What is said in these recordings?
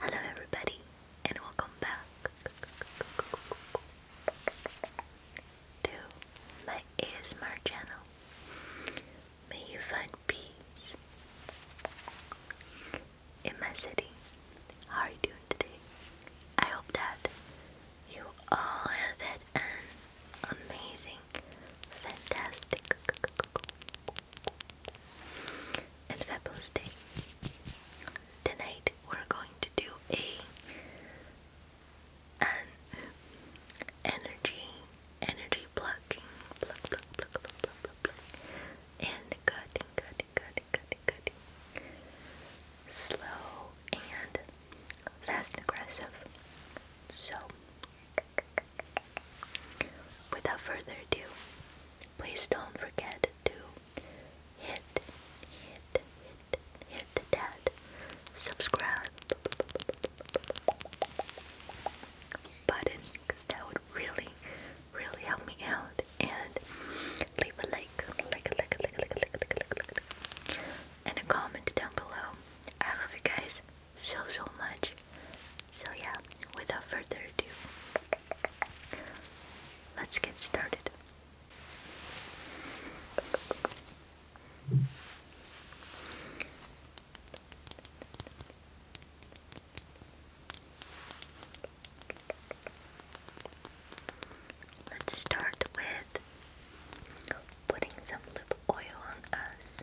Hello, everybody, and welcome back to my ASMR channel. May you find peace in my city. How are you doing today? I hope that you all have an amazing, fantastic, and fabulous day. Tonight we're going to do a an energy energy plucking, pluck, pluck, pluck, pluck, pluck, and cutting, cutting, cutting, cutting, cutting. Slow and fast aggressive. So, without further ado, please don't forget to hit, hit, hit, hit that subscribe button because that would really, really help me out. And leave a like, like, like, like, like, like, like, like, like, and a comment down below I love you guys so so much. So yeah, without further ado, let's get started. Let's start with putting some lip oil on us.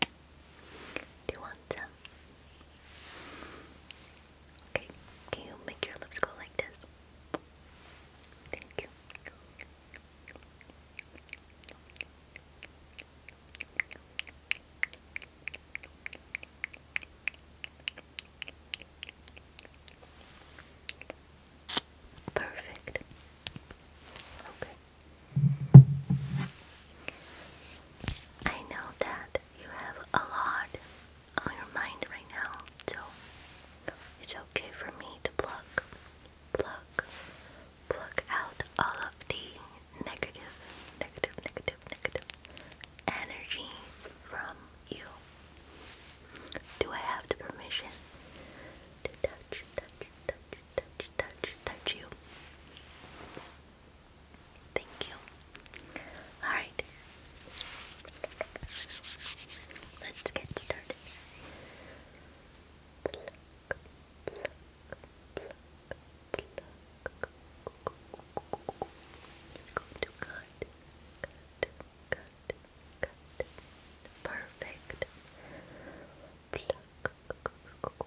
Do you want some? Okay, can you make your lips go like this? Thank you. Perfect. Okay. I know that you have a lot on your mind right now, so it's okay for me to pluck, pluck, pluck out all of the negative, negative, negative, negative energy from you. Do I have the permission to touch, touch, touch, touch, touch, touch you? Thank you. Alright. Let's get started. Pluck, to cut, cut, cut, cut. Perfect. Pluck.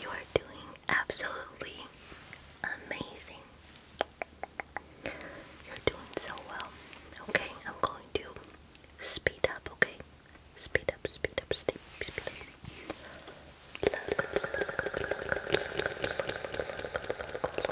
You are doing absolutely amazing. You're doing so well. Okay, I'm going to speed up, okay? Speed up, speed up, speed up. Speed up.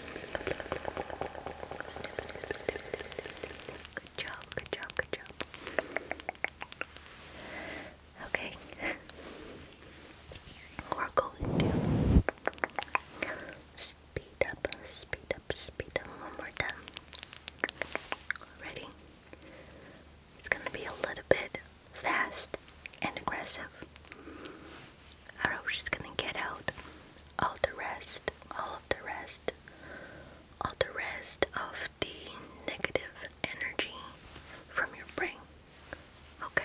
Good job, good job, good job. Okay. We're going to speed up, speed up, speed up one more time. Ready? It's gonna be a little bit fast and aggressive. I hope she's gonna get out all the rest, all of the rest, all the rest of the negative energy from your brain. Okay.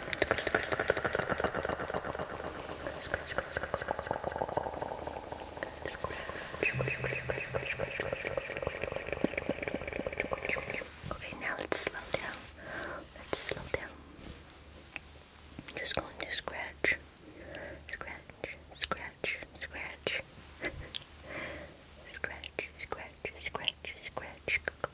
Okay, now let's slow down. Let's slow down. Just going to scratch, scratch, scratch, scratch, scratch, scratch, scratch, scratch.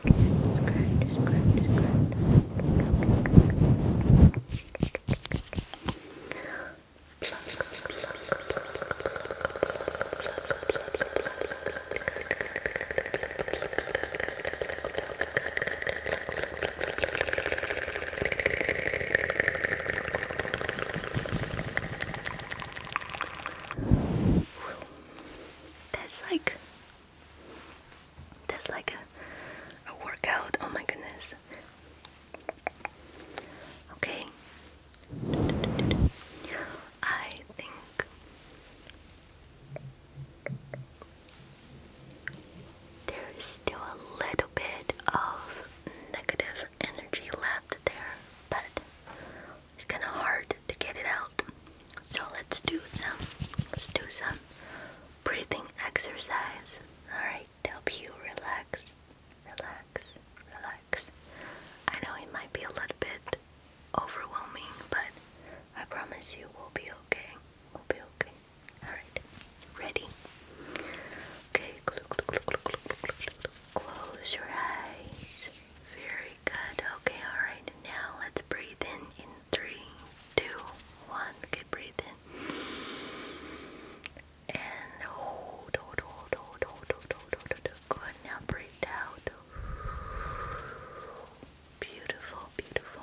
Scratch, scratch, scratch. That's like that's like a, a workout. Oh my goodness. Okay. I think there is still a little bit of negative energy left there, but it's kind of hard to get it out. So let's do some let's do some breathing exercise. All right, to help you relax, relax, relax. I know it might be a little bit overwhelming, but I promise you we'll be okay. We'll be okay. All right. Ready? Okay. Close your eyes. Very good. Okay, alright. Now let's breathe in in three, two, one. Good, breathe in. And hold, hold, hold, hold, hold, hold, hold, hold, hold. Good. Now breathe out. Beautiful, beautiful.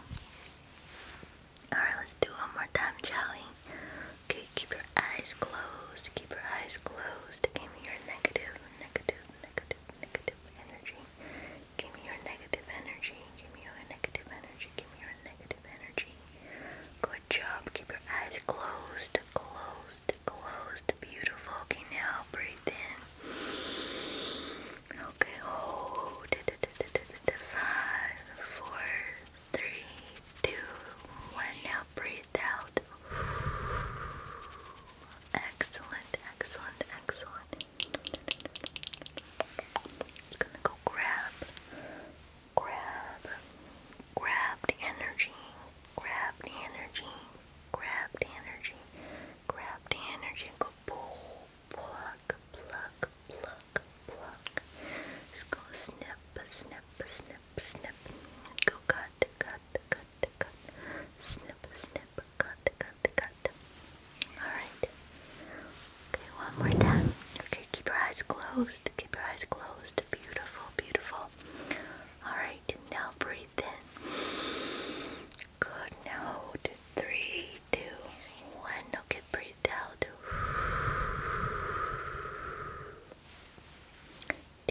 Alright, let's do one more time, shall Okay, keep your eyes closed. Keep your eyes closed. Give your negative, negative, negative, negative energy. Give me your negative energy. Give me your negative energy. Give me your negative energy. Good job. Keep your eyes closed. Closed. Closed. Beautiful. Okay, now breathe in. Okay, hold. Five, four, three, two, one. Now breathe out. Excellent, excellent, excellent. Just gonna go grab, grab, grab the energy, grab the energy, grab the energy, grab the energy, and go pull, pluck, pluck, pluck, pluck. Just go snip, snip, snip, snip. Go cut, cut, cut, cut. Snip, snip, cut, cut, cut. Alright. Okay, one more time. Okay, keep your eyes closed. Keep your eyes closed. Beautiful, beautiful. Alright, now breathe in. Good. Now Three, two, one. Okay, breathe out. Do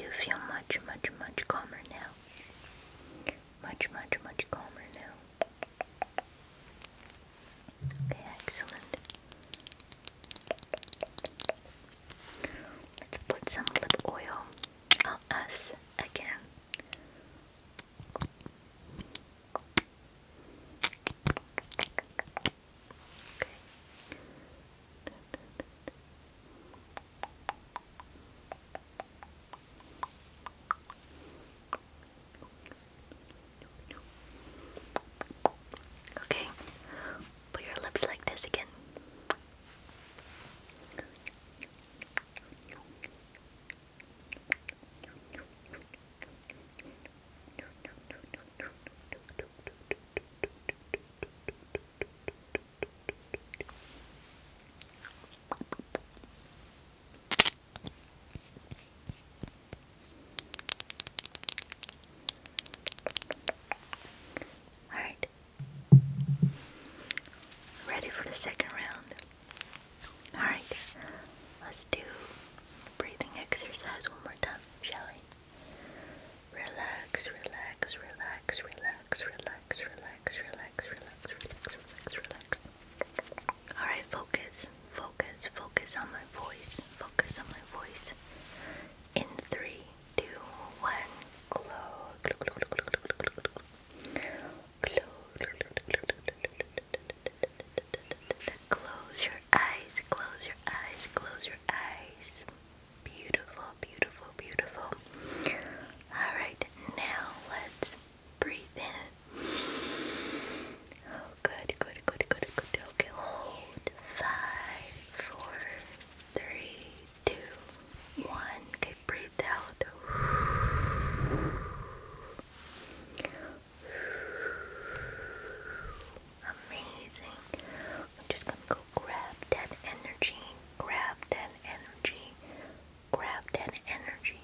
you feel much, much, much calmer now? Much, much, much calmer now. Okay, excellent. Let's put some lip oil on us again. Okay no, no. Okay, put your lips like this again. Alright. Ready for the second round? Alright, let's do breathing exercise one more time, shall we? Relax, relax, relax, relax, relax relax, relax, relax, relax, relax, relax, relax. Alright, focus, focus, focus on my voice, focus on my voice. In three, two, one, close. Close your eyes, close your eyes, close your eyes. Beautiful, beautiful, beautiful. Alright, now let's Breathe in. Oh, good, good, good, good, good. Okay, hold. Five, four, three, two, one. Okay, breathe out. Amazing. I'm just gonna go grab that energy, grab that energy, grab that energy,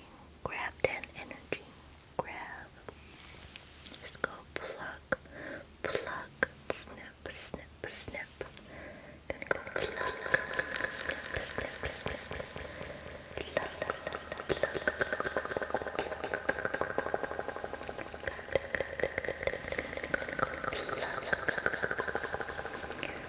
grab that energy, grab. let go pluck, pluck, snip, snip, snip. Gonna go pluck,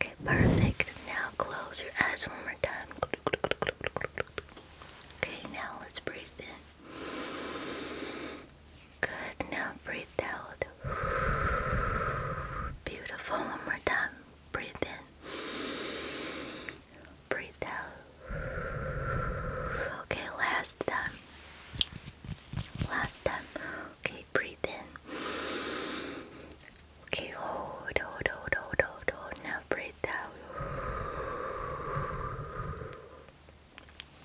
Okay, perfect. Now close your eyes one more time. Okay, now let's breathe in. Good, now breathe out. Beautiful, one more time. Breathe in. Breathe out. Okay, last time. Last time. Okay, breathe in. Okay, hold, hold, hold, hold, hold, hold. Now breathe out.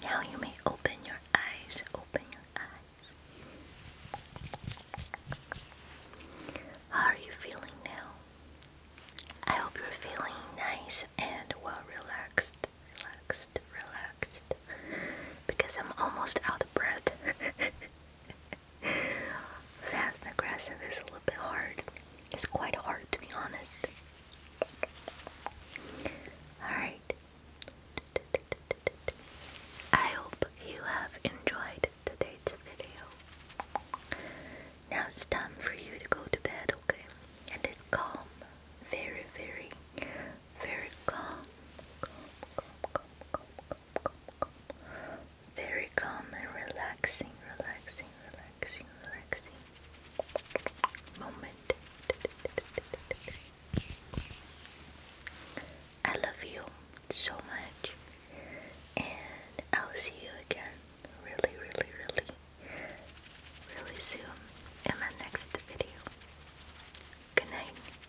Now you may open your eyes. Open your eyes. How are you feeling now? I hope you're feeling nice and well relaxed. Relax relaxed, because I'm almost out of breath. Fast aggressive is a little bit hard. It's quite hard to be honest. Alright. I hope you have enjoyed today's video. Now it's time for you to go to bed, okay? And it's calm, very, very very calm, calm, calm, calm, calm, calm, calm, very calm and relaxing, relaxing, relaxing, relaxing moment. I love you so much, and I'll see you again really, really, really, really soon in my next video. Good night.